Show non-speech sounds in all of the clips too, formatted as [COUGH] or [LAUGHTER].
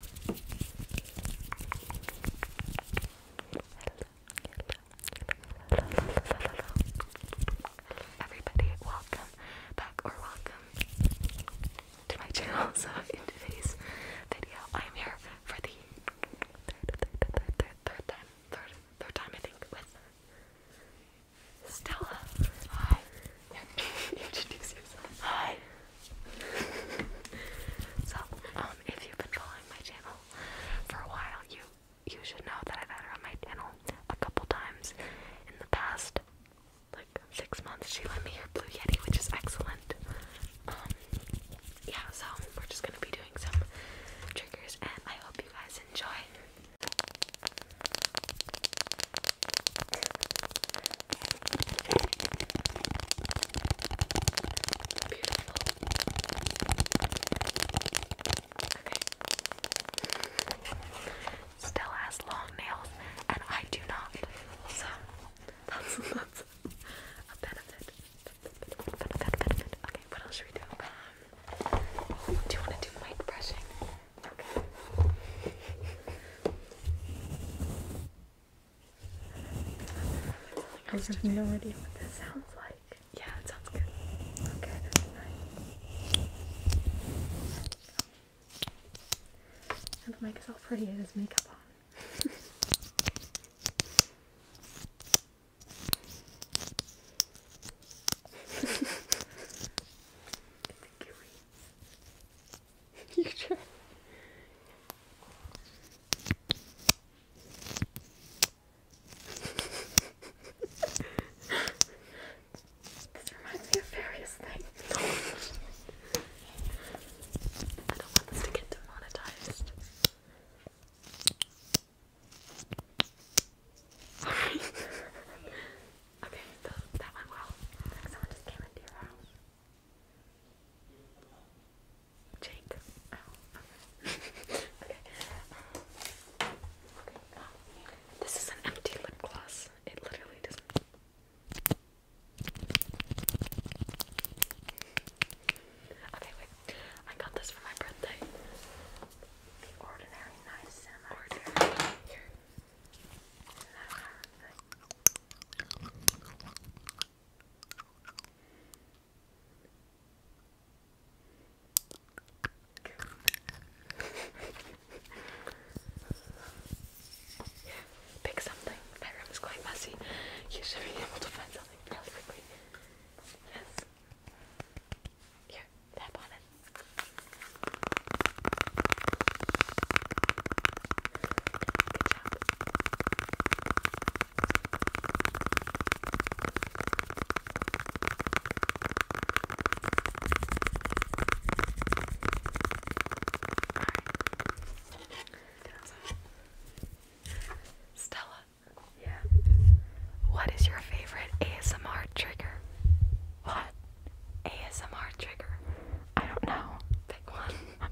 hello, everybody, welcome back or welcome to my channel. [LAUGHS] So in today's video, I am here for the third, third, third, third, third time, third, third time I think with Stella. Hi. [LAUGHS] Introduce yourself. Hi so, um, if you've been following my channel for a while, you you should know that I've had her on my channel a couple times in the past like six months. She lent me her Blue Yeti, which is excellent. Um, yeah, so we're just gonna be doing some triggers, and I hope you guys enjoy. Beautiful. Still has long nails, and I do not. So that's, [LAUGHS] that's a benefit. Benefit, benefit, benefit. Okay, what else should we do? Um, do you want to do mic brushing? I have no idea what that sounds like. Yeah, it sounds good. Okay, that's nice. the mic is all pretty, it has makeup on. [LAUGHS] you this reminds me of various things. [LAUGHS] I don't want this to get demonetized. [LAUGHS] okay, so that went well. Someone just came into your house. Jake. okay. Oh. [LAUGHS] okay. This is an empty lip gloss. It literally doesn't. Okay, wait. I got this for my birthday. ordinary nice and ordinary. Here. Isn't pick something. My room is quite messy. You should be able to find something really quickly. Yes. Here, tap on it. Stella. Yeah. What is your favorite ASMR trigger? What? ASMR trigger. I don't know. Pick one.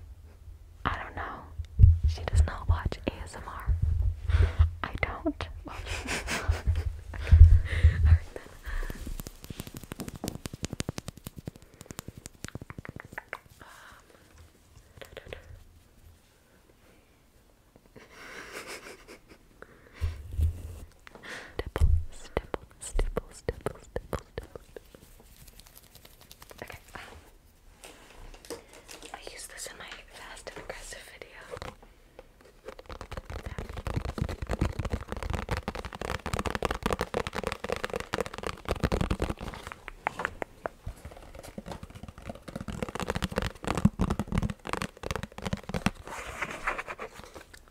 I don't know. She does not watch ASMR. I don't. [LAUGHS] stipple, stipple, stipple, stipple, stipple, stipple. Okay, um, I used this in my fast and aggressive video.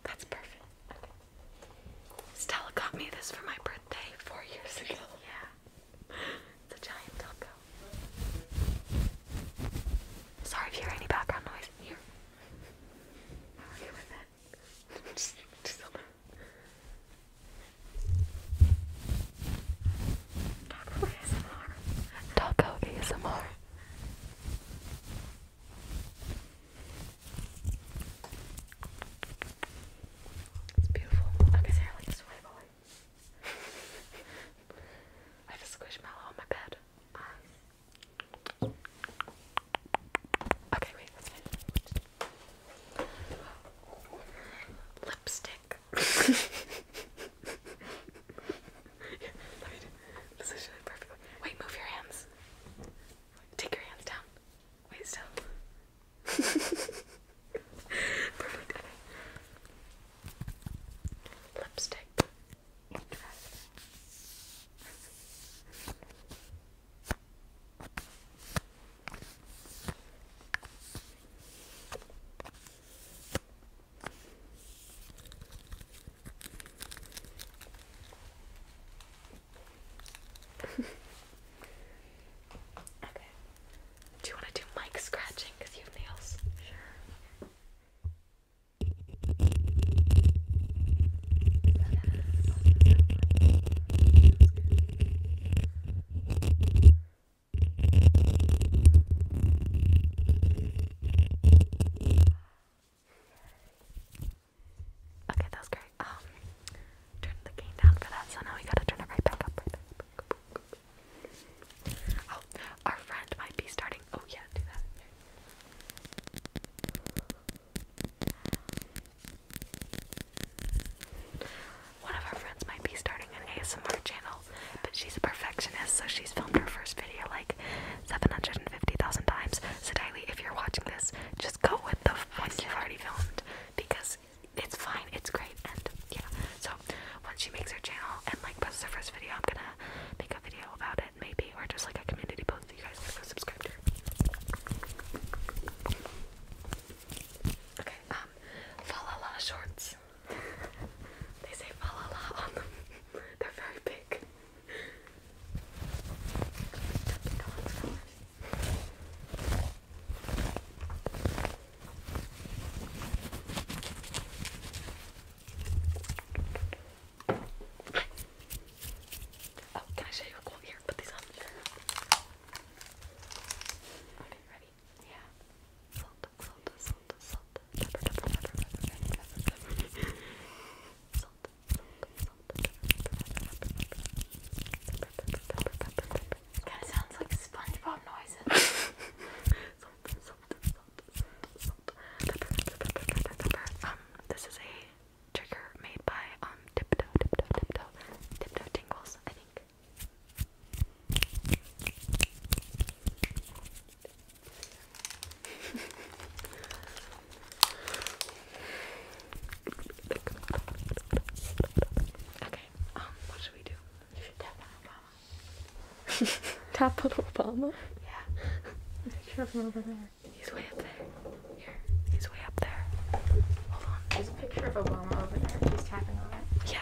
That's perfect. Stella got me this for my birthday four years ago. [LAUGHS] Yeah. It's a giant taco. Sorry if you hear any background noise. Here. are you with it? [LAUGHS] just, just on Taco ASMR. Taco ASMR. It's beautiful. Okay, Sarah, like this boy. I have a squishmallow on my bed. okay, wait, Lipstick. yeah, [LAUGHS] let Wait, move your hands. Take your hands down. Wait still. [LAUGHS] Perfect. Lipstick. Do you want to do mic scratching because you have nails? Sure. Okay, that was great. Um, turn the gain down for that, so now we gotta turn it right back up. Oh, our friend might be starting. Oh, yeah, do that. One of our friends might be starting an ASMR channel, but she's a perfectionist, so she's filmed her first video like 750,000 times. So Daily, if you're watching this, just go with the one you've already filmed because it's fine, it's great, and yeah. So once she makes her channel and like posts her first video, I'm gonna make a video about it maybe, or just like a community post for you guys to go subscribe to. Okay, um, Falala shorts. they say Falala on them. [LAUGHS] They're very big. Oh, can I show you a quote here? Put these on. Okay, ready? Yeah. Salt, salt, salt, salt, pepper, pepper, pepper, pepper, pepper, pepper, pepper salt, salt, Kind of sounds like SpongeBob noises. salt, salt, salt, salt, salt. Pepper, pepper, pepper, pepper, pepper. Um, this is a trigger made by um Tiptoe, Tiptoe, Tiptoe, Tiptoe Tingles, I think okay, um, what should we do? tap on Obama. [LAUGHS] tap on Obama? Yeah. Picture from over there. He's way up there. Here. He's way up there. Hold on. There's a picture of Obama over there. He's tapping on it. Yeah.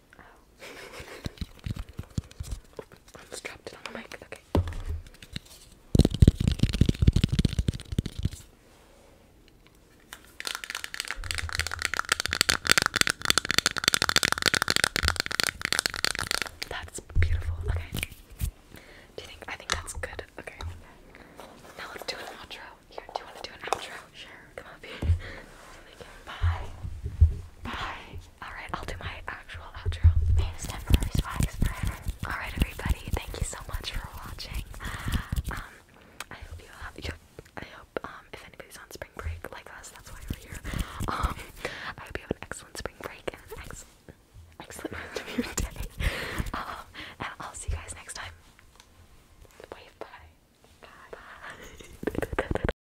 Oh. [LAUGHS] That's beautiful. Okay. Do you think I think that's good? Okay. Now let's do an outro. Here, do you want to do an outro? Sure. Come up [LAUGHS] Bye. Bye. Alright, I'll do my actual outro. Famous temporary swags forever. Alright everybody, thank you so much for watching. Um I hope you have I hope um if anybody's on spring break like us, that's why we're here. Um I hope you have an excellent spring break and an excellent excellent rest of your day. Um I'll see you guys next time. Wave bye. Bye. bye. [LAUGHS]